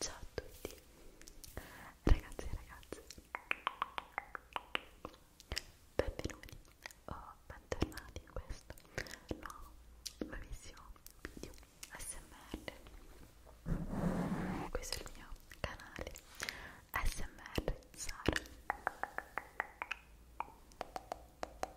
Ciao a tutti ragazzi e ragazze benvenuti o bentornati in questo nuovo nuovissimo video ASMR questo è il mio canale ASMR Sara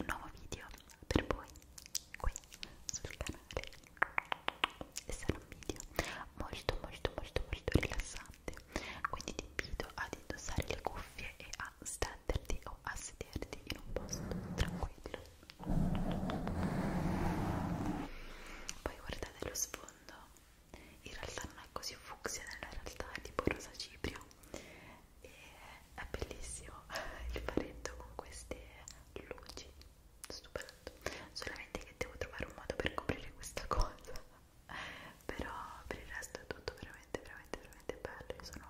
un nuovo video per voi qui sul canale e sarà un video molto molto molto molto rilassante quindi ti invito ad indossare le cuffie e a stenderti o a sederti in un posto tranquillo poi guardate lo sfondo in realtà non è così fucsia nella realtà è tipo rosa cipria e è bellissimo il paletto con queste luci stupendo solamente che devo trovare un modo per coprire questa cosa però per il resto è tutto veramente veramente veramente bello sono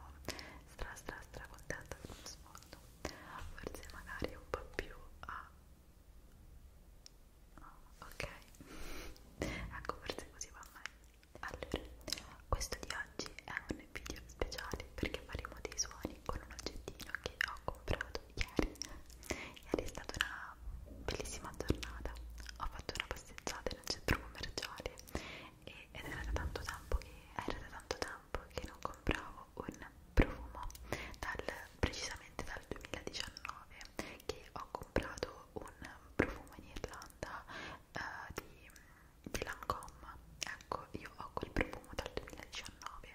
stra stra stra contenta con lo sfondo forse magari un po' più a ah, ok ecco forse così va meglio allora, questo di oggi è un video speciale perché faremo dei suoni con un oggettino che ho comprato ieri. Ieri è stata una bellissima giornata, ho fatto una passeggiata in un centro commerciale e, ed era da tanto tempo che era da tanto tempo che non compravo un profumo dal, precisamente dal 2019 che ho comprato un profumo in Irlanda eh, di di Lancome ecco io ho quel profumo dal 2019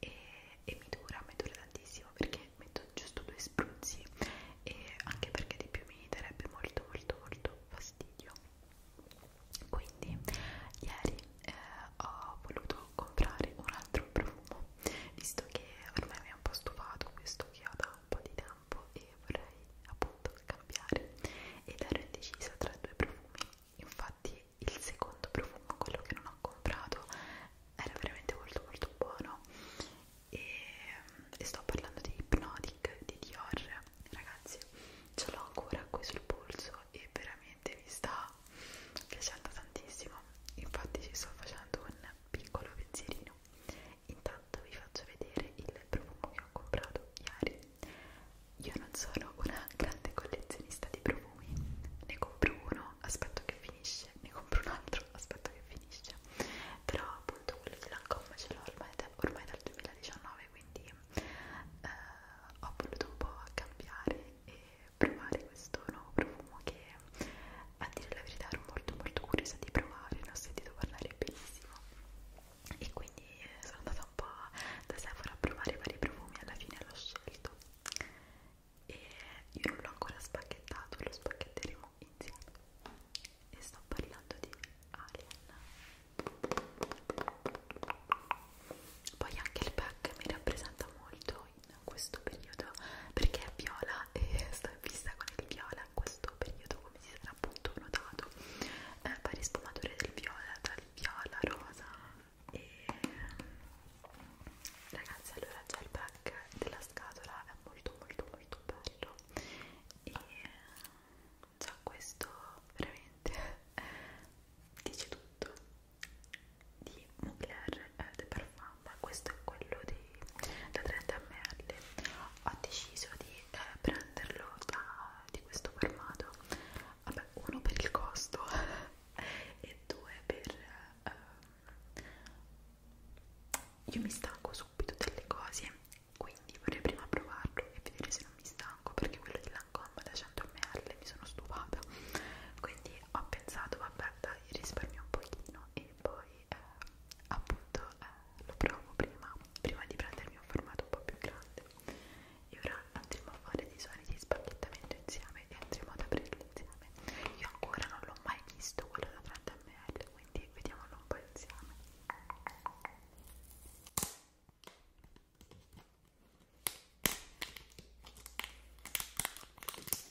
e, e mi dura, mi dura tantissimo perché metto giusto due spruzzi e anche perché di più mi darebbe molto molto molto fastidio quindi ieri eh, ho voluto comprare un altro profumo visto che ormai mi ha un po' stufato questo che ho da un po' di tempo campo e vorrei appunto scambiare ed ero indecisa tra due profumi infatti il secondo profumo, quello che non ho comprato era veramente molto molto buono e, e sto parlando di Hypnotic di Dior ragazzi ce l'ho ancora qui sul polso e veramente mi sta piacendo tantissimo infatti ci sto facendo un piccolo pensierino intanto vi faccio vedere il profumo che ho comprato ieri io non sono una grande collezionista di profumi ne compro uno, aspetto che finisce ne compro un altro, aspetto che finisce però appunto quello di Lancome ce l'ho ormai, da, ormai dal 2019 quindi eh, ho voluto un po' cambiare e provare questo nuovo profumo che a dire la verità ero molto molto curiosa di provare, ne ho sentito parlare benissimo e quindi eh, sono andata un po' da Sephora a provare vari profumi, alla fine l'ho scelto e io non l'ho ancora spacchettato, lo spacchetteremo insieme e sto parlando di Alien poi anche il pack mi rappresenta molto in questo periodo perché è viola e sto in fissa con il viola questo questo periodo come si sarà appunto notato eh, varie sfumature del viola dal viola rosa e ragazzi allora già il pack della scatola è molto molto molto bello e già questo veramente dice tutto di Mugler eh, de Parfum mamma questo è quello di, da 30 ml ho deciso di eh, prenderlo da, di questo formato vabbè uno per il costo e due per eh, io mi stanco subito delle cose quindi vorrei prima provarlo e vedere se non mi stanco perché quello di Lancome da 100 ml mi sono stufata quindi ho pensato vabbè dai risparmio un pochino e poi eh, appunto eh, lo provo prima, prima di prendermi un formato un po' più grande e ora andremo a fare dei suoni di spacchettamento insieme e andremo ad aprirli insieme io ancora non l'ho mai visto quello da 30 ml quindi vediamolo un po' insieme Thank you.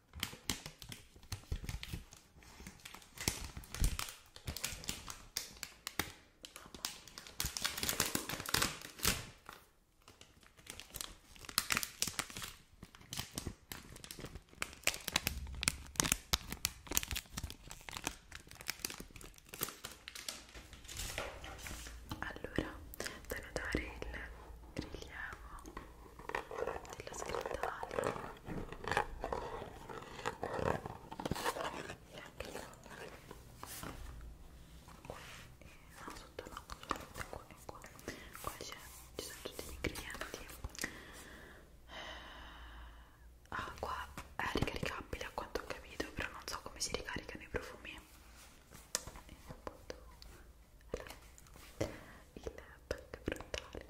Allora, da notare il rilievo della scritta alta ah, e anche il qua no, sotto no, solamente qua e qua qua c'è, ci sono tutti gli ingredienti acqua ah, è ricaricabile a quanto ho capito però non so come si ricaricano i profumi e eh, appunto allora il pack frontale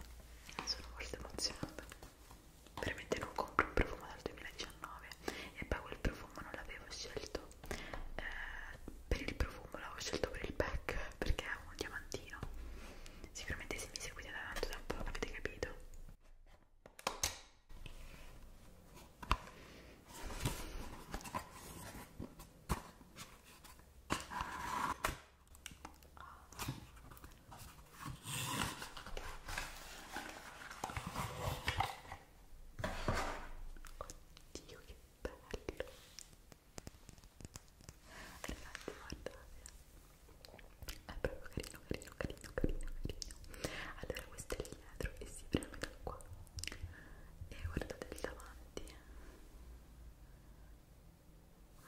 sono molto emozionata veramente non compro un profumo dal 2019 e poi quel profumo non l'avevo scelto eh, per il profumo l'avevo scelto per il pack perché è un diamantino sicuramente se mi seguite da tanto tempo avete capito Oddio che bello ragazzi guardate è proprio carino carino carino carino carino allora questo è il dietro e si prende da qua e guardate il davanti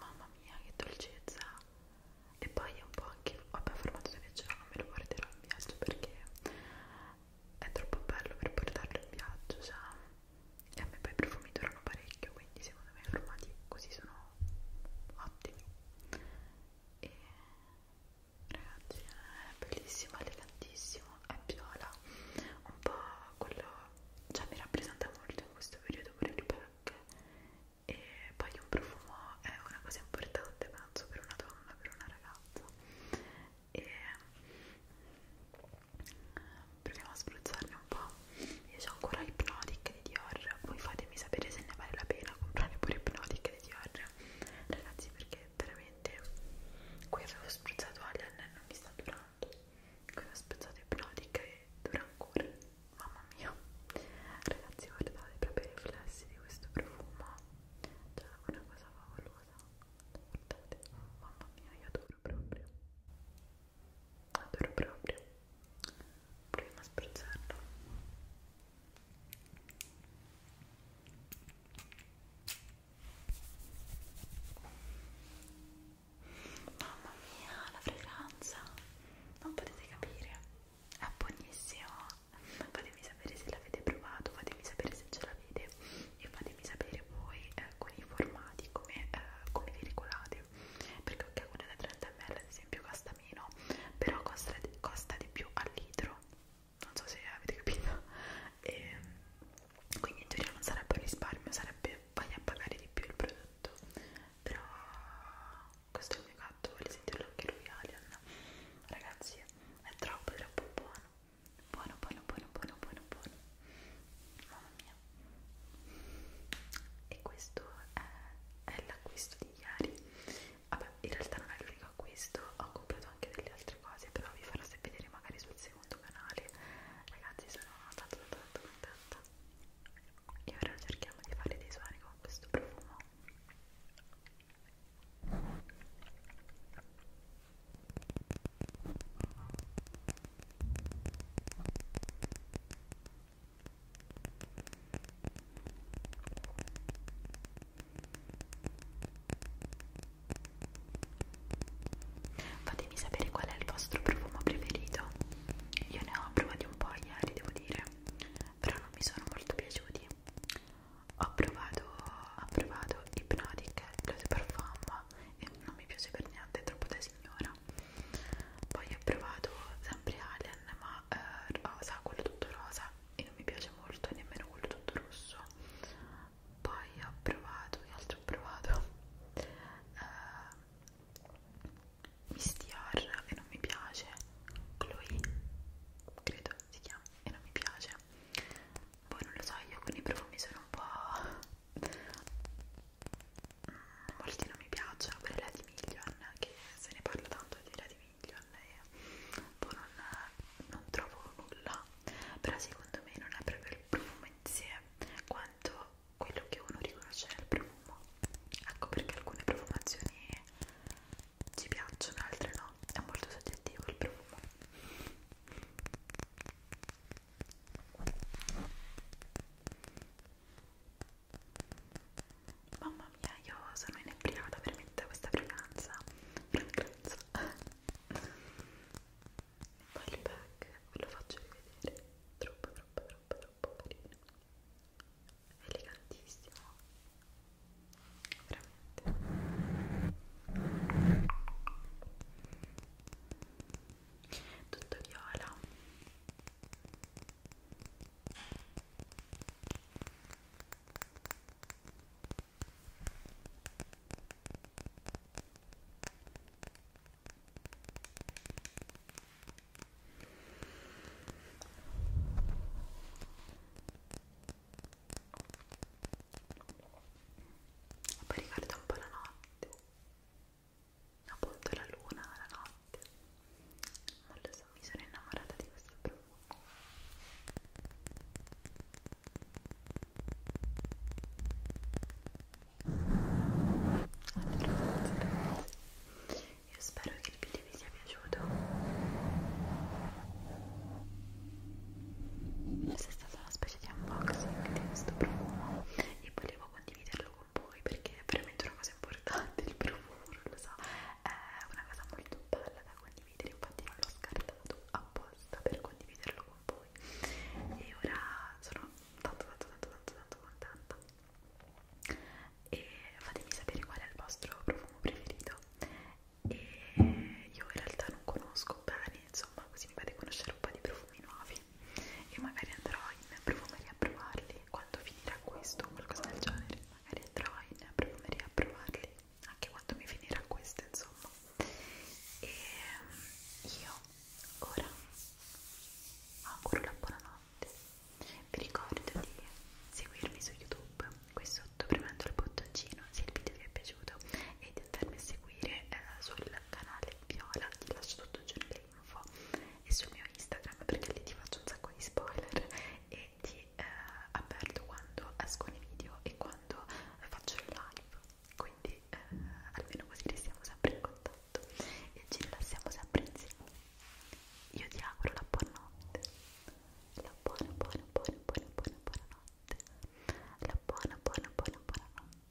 Mamma mia, che dolcezza! E poi è un po' anche. Vabbè, formato da viaggio non me lo porterò in viaggio perché è troppo bello per portarlo in viaggio. Cioè, e a me poi i profumi durano parecchio, quindi secondo me i formati così sono ottimi. E ragazzi, è bellissimo, elegantissimo è viola, un po' quello, cioè mi rappresenta molto in questo periodo pure il pack e poi un profumo è una cosa importante penso per una donna, per una ragazza e proviamo a spruzzarne un po', io ho ancora Hypnotic di Dior, voi fatemi sapere se ne vale la pena comprare pure Hypnotic di Dior ragazzi perché che veramente qui avevo spruzzato Alien e non mi sta durando qui ho spruzzato Iprodic e dura ancora mamma mia ragazzi guardate proprio i riflessi di questo profumo cioè una cosa favolosa guardate mamma mia io adoro proprio adoro proprio proviamo a spruzzarlo Mamma mia, la fragranza! Non potete capire, è buonissima. Fatemi sapere se l'avete provato, fatemi sapere se ce l'avete e fatemi sapere voi eh, con i formati come, eh, come vi regolate. Perché ok, quella da 30 ml ad esempio costa meno, però costa, costa di più al litro non so se avete capito e quindi in teoria non sarebbe un risparmio sarebbe vai a pagare di più il prodotto però questo è il mio gatto vuole sentirlo anche lui Alien ragazzi è troppo troppo buono buono buono buono buono buono buono mamma mia e questo è, è l'acquisto di ieri vabbè in realtà non è l'unico acquisto ho comprato anche delle altre cose però vi farò vedere magari sul secondo canale ragazzi sono tanto tanto contenta e ora cerchiamo di fare dei suoni con questo profumo Fatemi sapere qual è il vostro profumo preferito. Io ne ho provati un po' ieri, devo dire, però non mi sono molto piaciuti. Ho provato, ho provato Hypnotic, Blood Parfum e non mi piace per niente, è troppo da signora. Poi ho provato sempre Alien, ma eh, rosa, quello tutto rosa e non mi piace molto e nemmeno quello tutto rosso poi ho provato che altro ho provato uh, ehm, Mistiar e non mi piace Chloe credo si chiama e non mi piace poi boh, non lo so io con i profumi sono un po' molti non mi piacciono per la di Million che se ne parla tanto di la di meraviglio a lei poi non, non trovo nulla però secondo me non è proprio il profumo in sé quanto quello che uno riconosce nel profumo ecco perché alcune profumazioni ci piacciono altre no è molto soggettivo il profumo Mamma mia, io sono inebriata veramente a questa fragranza. Fragranza. Poi il pack ve lo faccio rivedere. Troppo, troppo, troppo, troppo carino. Elegantissimo. Veramente. Tutto viola. E poi ricorda un po' la notte appunto la luna la notte notte non lo so, mi sono innamorata di questo profumo allora, ragazzi, io spero che il video vi sia piaciuto questa è stata una specie di unboxing di questo profumo e volevo condividerlo con voi perché è veramente una cosa importante il profumo, non lo so, è una cosa molto bella da condividere, infatti non l'ho scartato apposta per condividerlo con voi e ora sono tanto tanto tanto tanto tanto contenta e fatemi sapere qual è il vostro profumo preferito e io in realtà non conosco bene, insomma così mi fate conoscere un po' di profumi nuovi e magari andrò in profumeria a provarli quando finirà questo o qualcosa del genere magari andrò in profumeria a provarli anche quando mi finirà questo insomma e io ora auguro la buonanotte vi ricordo di seguirmi su youtube qui sotto premendo il bottoncino se il video vi è piaciuto e di andarmi a seguire eh, sul canale viola ti lascio tutto giù nelle Info e sul mio Instagram perché lì ti faccio un sacco di spoiler e ti eh, avverto quando escono i video e quando faccio il live quindi eh, almeno così restiamo sempre in contatto e ci rilassiamo sempre insieme io ti auguro la buonanotte la buona buona buona buona buona buona notte la buona buona buona buona notte